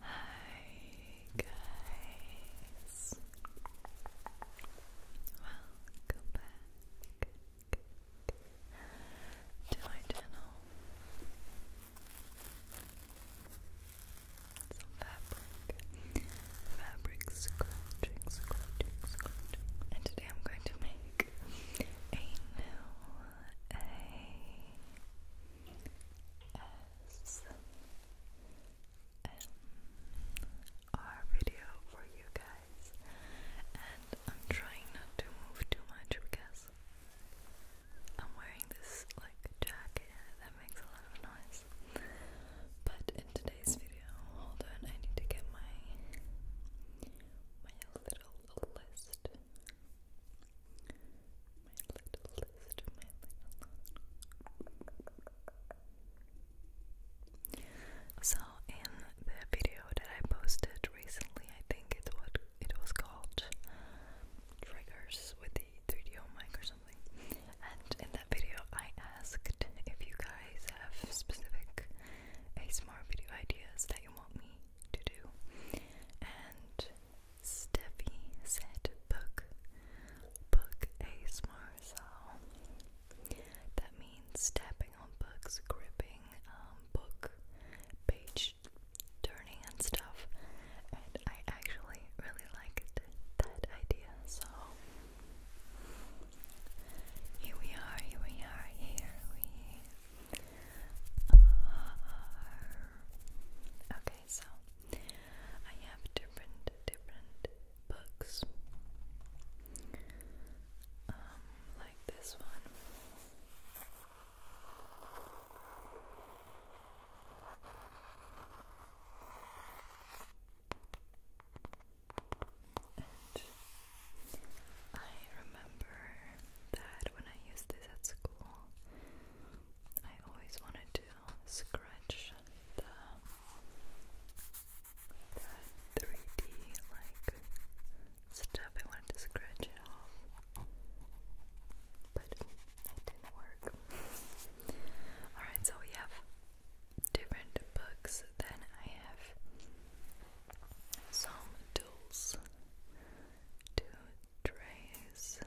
Hi guys. Welcome back to my channel. Some fabric fabric scratching, scratching, scratching. And today I'm going to make a new A S M R video for you guys. And I'm trying not to move too much because I'm wearing this like jacket that makes a lot of noise. But in today's video, hold on, I need to get my my little list. My little list, my little So in the video that I posted recently, I think it what it was called triggers with the 3DO mic or something. And in that video, I asked if you guys have specific ASMR video ideas that you want me to do, and Steffi said book, book ASMR, so that means tapping on books, gripping um, book page turning and stuff, and I actually really liked that idea, so here we are, here we are, here we are. Okay, so I have different, different books. Um, like this one. I remember that when I used this at school, I always wanted to scratch the 3D like stuff. I wanted to scratch it off, but it didn't work. Alright, so we have different books then I have some tools to trace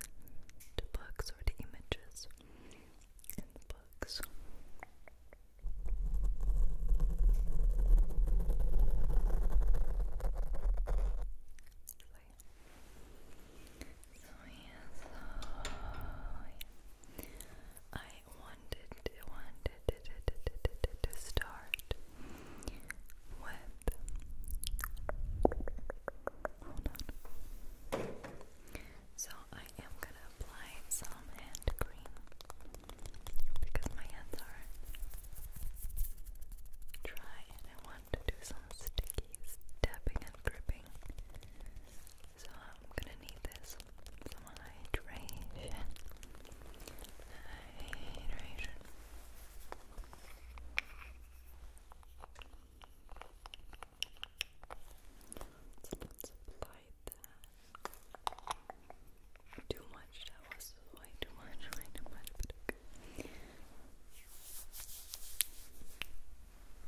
the books or the images in the books. So, yeah, oh, so yeah. I I wanted wanted to start with So I am gonna apply some hand cream because my hands are dry and I want to do some sticky tapping and gripping so I'm gonna need this for my hydration. Hydration. So let's apply that. Too much, that was too much, too much, but okay.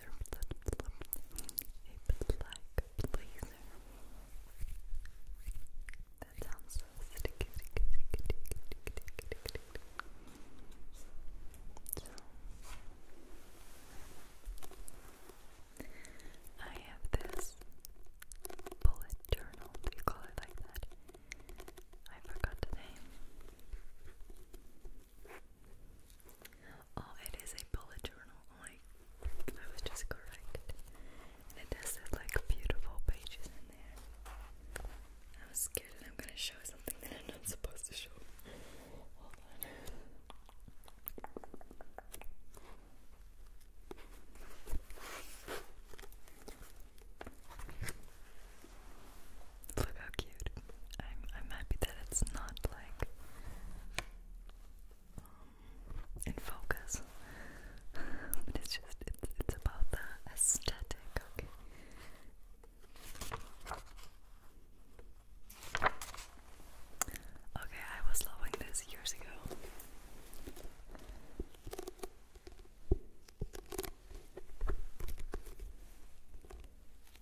blazer, a black That sounds so I have this bullet journal, do you call it like that? I forgot the name. Oh, it is a bullet journal. Oh, I, I was just correct. And it does like beautiful pages in there. I'm scared that I'm gonna show something that I'm not supposed to show. Look how cute. I'm I'm happy that it's not like um, in focus. but it's just it's it's about the aesthetic, okay. Okay, I was loving this years ago.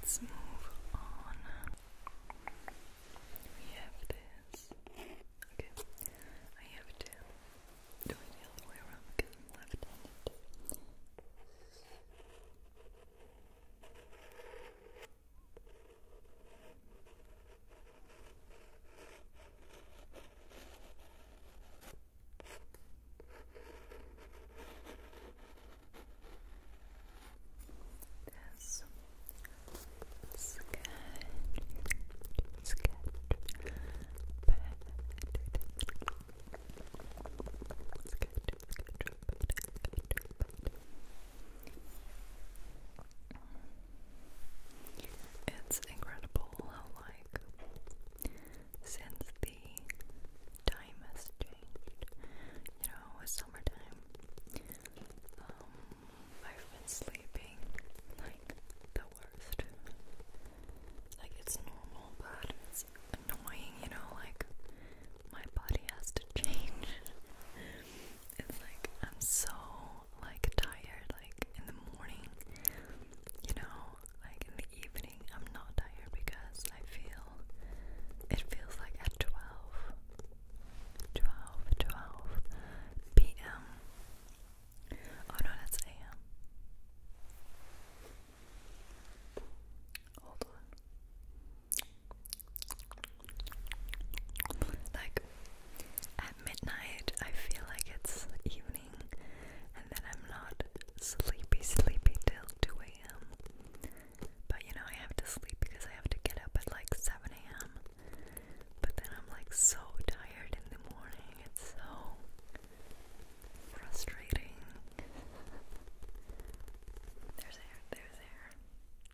Let's move on. We have this. Okay, I have to do it the other way around left-handed. This sketch, sketch, bed, sketch, sketch, bed, sketch, bed, it's incredible how, like, since the time has changed, you know, it's summertime, um, I've been sleeping like the worst. Like, it's normal, but it's annoying, you know, like, my body has to change. It's like I'm so like tired like in the morning, you know, like in the evening I'm not tired because I feel it feels like at 12 p.m. Oh no, that's a.m. Hold on. Like at midnight, I feel like it's evening, and then I'm not sleepy, sleepy till 2 a.m. But you know, I have to sleep because I have to get up at like 7 a.m. But then I'm like so tired in the morning, it's so frustrating. There's air, there's air.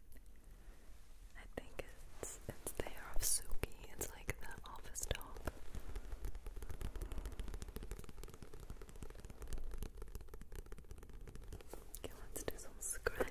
I think it's it's the of Suki. It's like the office dog. Okay, let's do some scratching.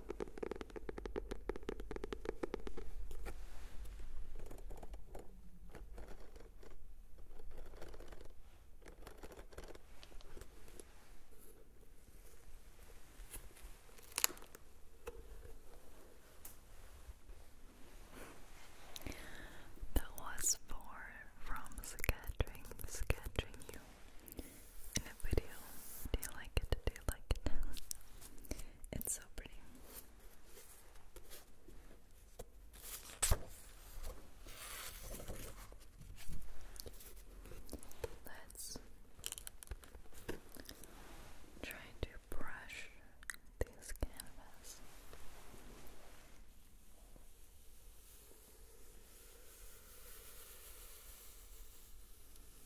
That was for from scattering, scattering you in a video. Do you like it? Do you like it? It's it's Let's try to brush this canvas.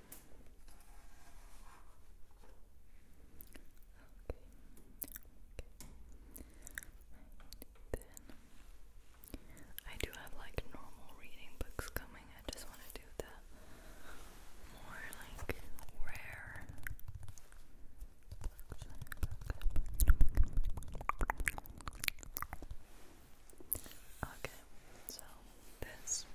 Right, then I do have like normal reading books coming. I just want to do the more like rare. Okay, so this,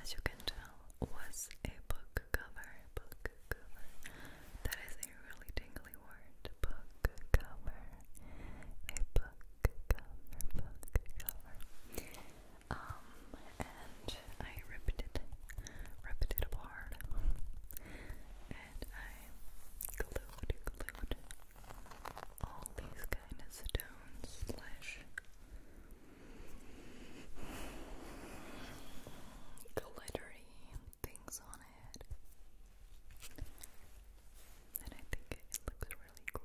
as you can tell, was a book cover. Book cover. That is a really tingly word. Book cover. A book cover. Book cover. Um, and I ripped it, ripped it apart, and I glued, glued all these kind of stones glittery things on it. And I think it looks really cool.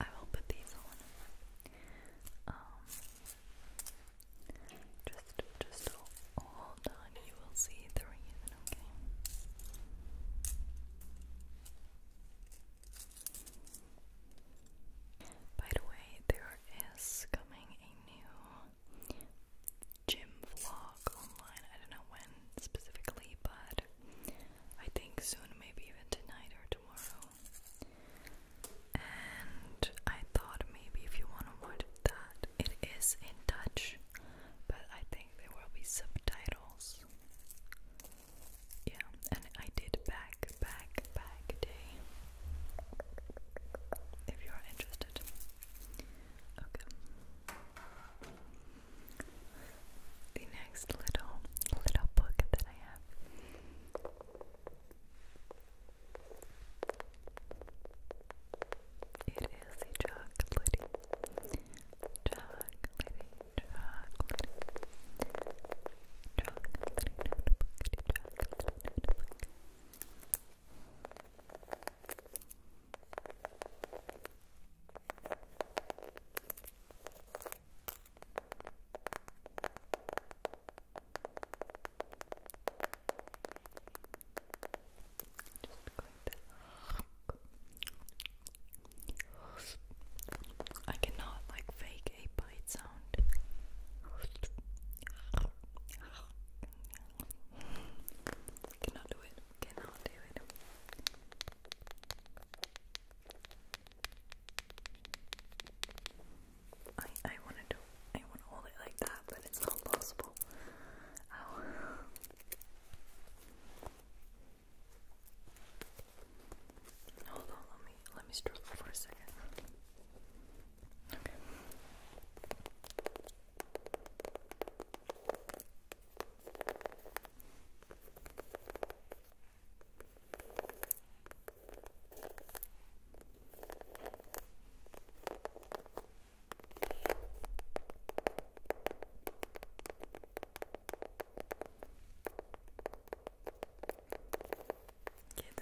I will put these on. Um, just, just hold on. You will see the reason, okay? By the way, there is coming a new gym vlog online. I don't know when specifically, but I think soon, maybe even tonight or tomorrow and I thought maybe if you want to watch that, it is in Dutch, but I think there will be subtitles. Yeah, and I did back, back, back day. If you are interested. Okay. The next little little book that I have it is a chocolatey, chocolatey, chocolatey, chocolatey notebook, chocolatey notebook. Chocolate, chocolate, I cannot like fake a bite sound. cannot do it. Cannot do it. I I want to do I want to hold it like that, but it's not possible. Ow. Oh. Hold on, let me let me struggle for a second. Okay. Okay. Okay,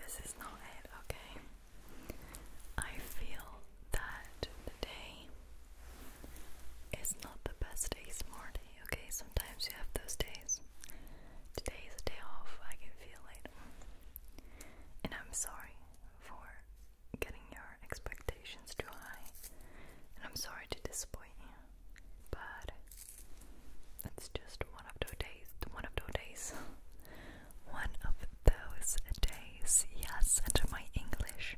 this is not it, okay? I feel that today is not the best ASMR day, okay? Sometimes you have those days. Today is a day off, I can feel it. And I'm sorry for getting your expectations too high. And I'm sorry to disappoint you. But it's just one of those days. One of those days. one of those days. Yes, and my English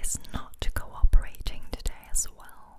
is not cooperating today as well.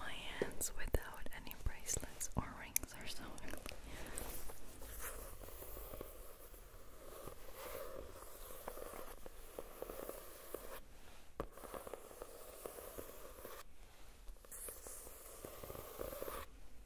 My hands without any bracelets or rings are so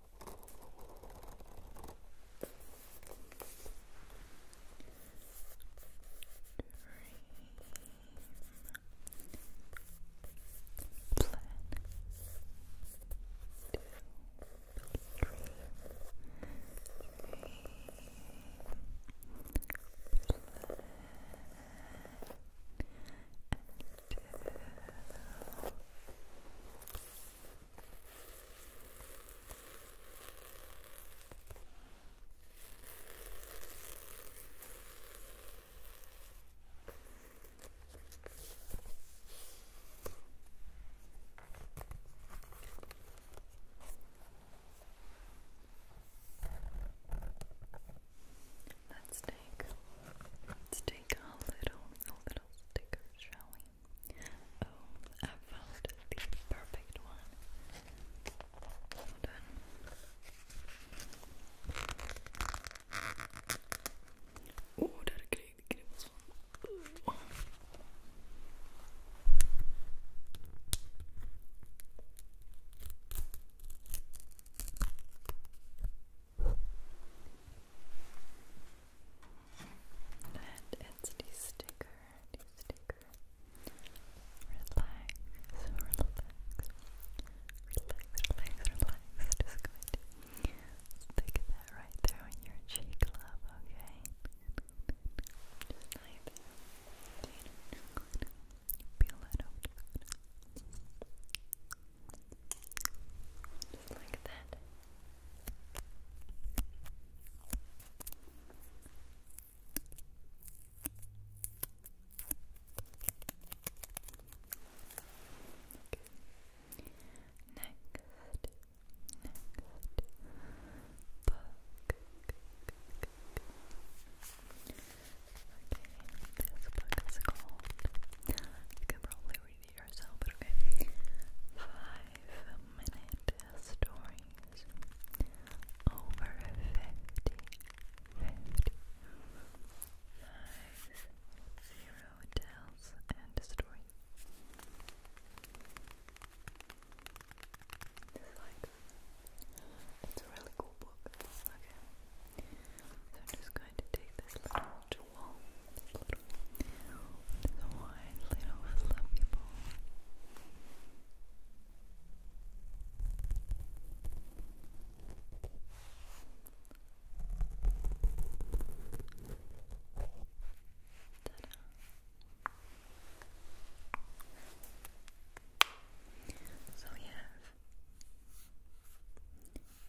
Dream, Let's take let's take a little a little little stickers, shall we? Oh, I found the perfect one. Hold on. Oh, daar kreeg ik de kribbels van. Oh. And it's the sticker, Relax, relax, relax, relax, Just going stick that right there on your cheek, love. Okay, just like that. Okay. Next, next book. Okay, this book is called. You can probably read video yourself, but okay. minute stories over 50. 50. and a It's like, it's a really cool book. So I'm just going to take this little jewel, this little, wide little fluffy ball. So we have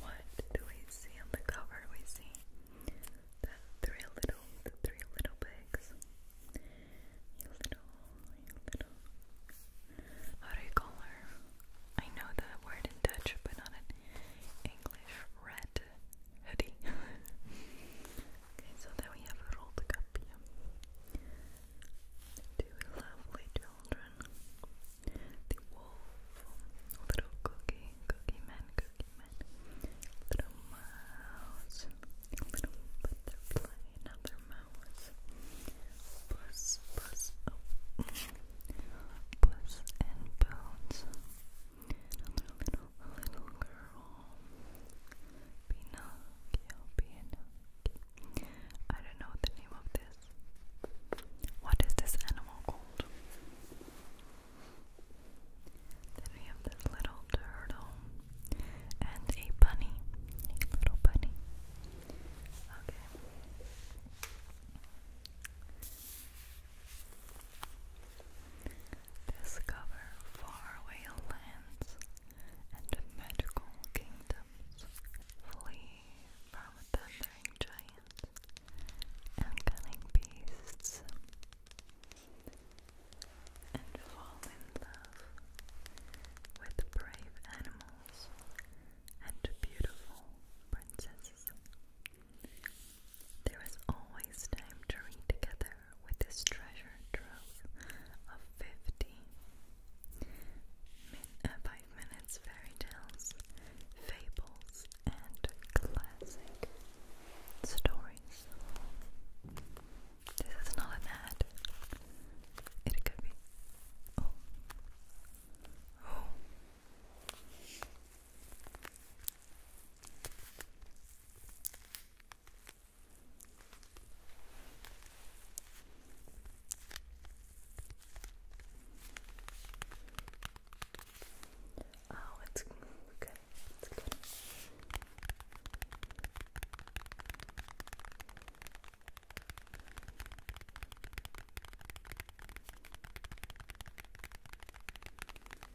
What do we see on the cover? We see the three little, the three little pigs. You little, little. How do you call her? I know the word in Dutch, but not in English. Red hoodie. okay, so there we have a rolled cup Two lovely children. The wolf, little cookie, cookie man, cookie man, little mouse, little butterfly, another mouse, plus, plus, oh, plus and bones, another little little girl. Pinocchio, Pinocchio. I don't know the name of this. What is this animal called? Then we have this little turtle and a bunny. A little bunny. Okay. Discover faraway lands and magical kingdoms. Flee from thundering giants and cunning beasts. And fall in love with brave animals and beautiful princesses. There is always time to read together with this treasure trove of fifty uh, minutes fairy tales, fables, and classic stories. This is not an ad. It could be. Oh. Oh. Oh, it's okay. It's good.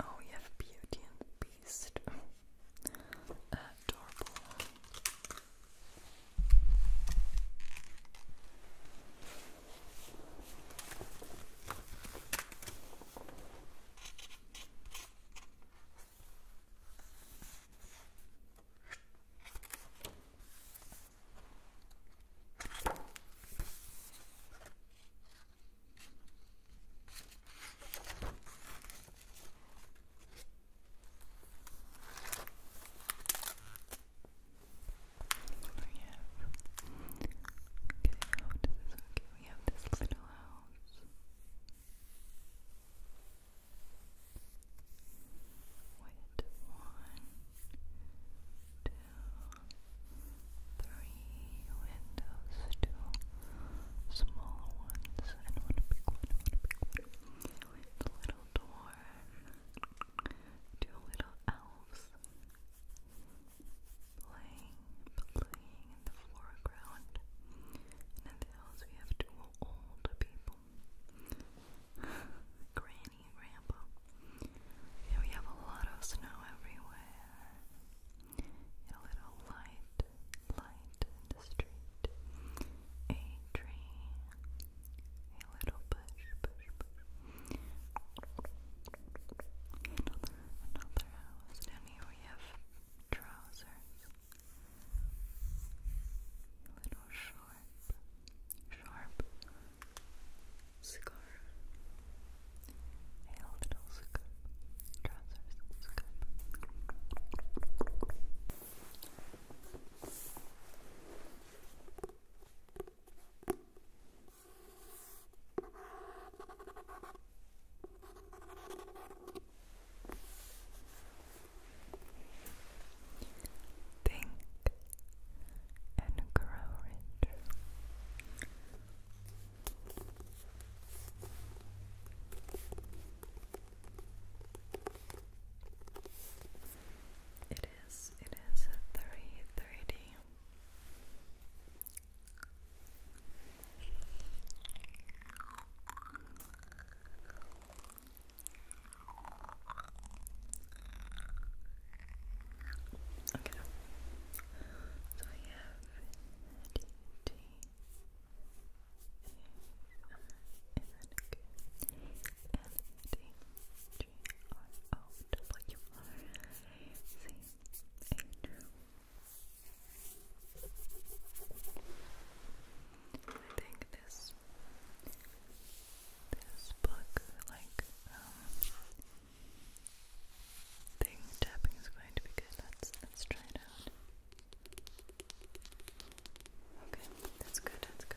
Oh, you have Beauty and the Beast. Adorable. Oh, okay, how oh, does this okay? we have this little house. one, two, three windows, two small ones, and one big one, a little door, two little elves, playing, playing in the foreground. in the house we have two old people. Granny and Grandpa. And we have a lot of snow everywhere. a little light, light in the street. A tree. A little bush, bush, bush. And Another house. Down here we have trousers. Little sharp, sharp scarf. A little scarf. Trousers, scarf. Think and grow rich. It is, it is a three thirty Okay. So we have D T A N N D G R O W R C H I think this this book like um, thing tapping is going to be good. Let's let's try it out. Okay, that's good, that's good.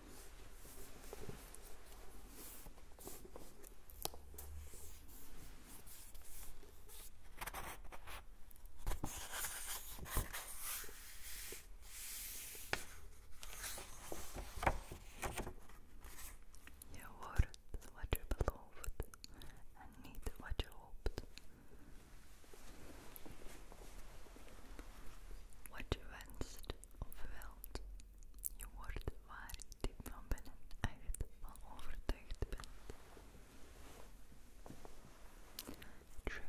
Je wordt wat je belooft en niet wat je hoopt. Wat je wenst of wilt, je wordt waar je diep van binnen echt van overtuigd bent. True.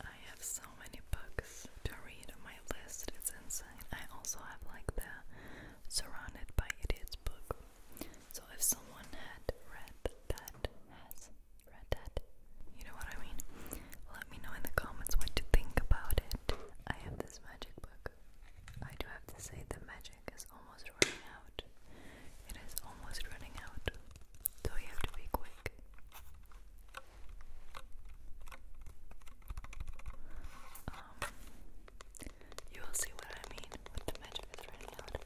I have so many books to read my list, it's insane. I also have like the Surrounded by Idiots book. So if someone had read that, has read that, you know what I mean? Let me know in the comments what you think about it. I have this magic book. I do have to say the magic is almost running out. It is almost running out. So you have to be quick. Um, you will see what I mean when the magic is running out. ready.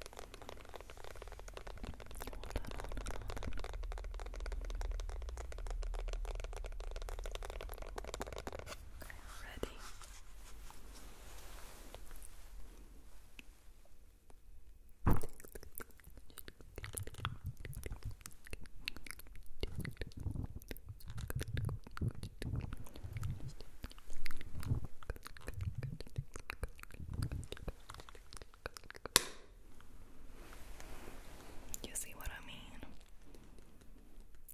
You see what I mean?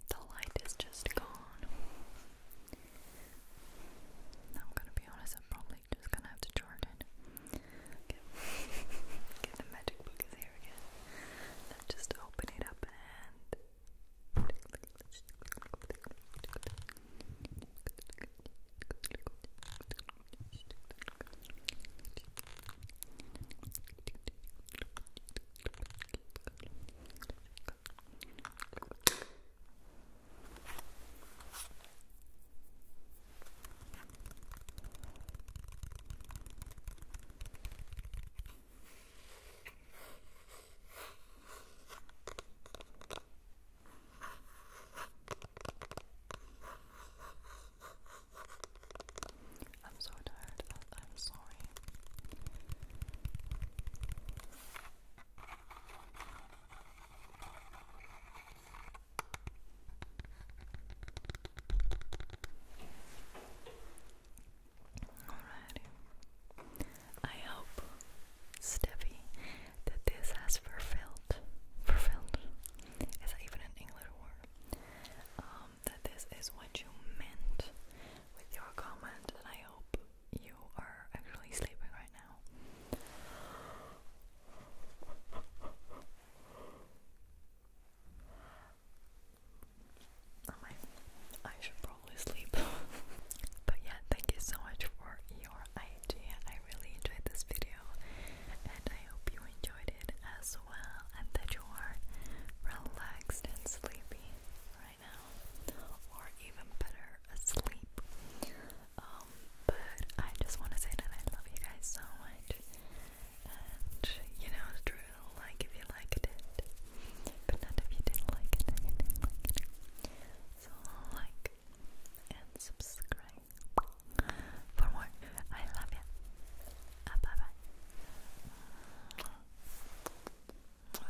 The light is just gone. I'm gonna be honest, I'm probably just gonna have to charge it. the magic book again. Now just open it up and. I'm so tired. I'm sorry. Alrighty. I hope, Steffi, that this has fulfilled. Fulfilled? Is that even an English word? Um, that this is what you meant with your comment, and I hope you are actually sleeping right now. Oh I should probably sleep. but yeah, thank you so much for your idea. I really enjoyed this video and I hope you enjoyed it as well and that you are relaxed and sleepy by or even better, asleep. Um, but I just want to say that I love you guys so much, and you know drill. Like if you liked it, but not if you didn't like it. So like and subscribe for more. I love you. Uh, bye bye.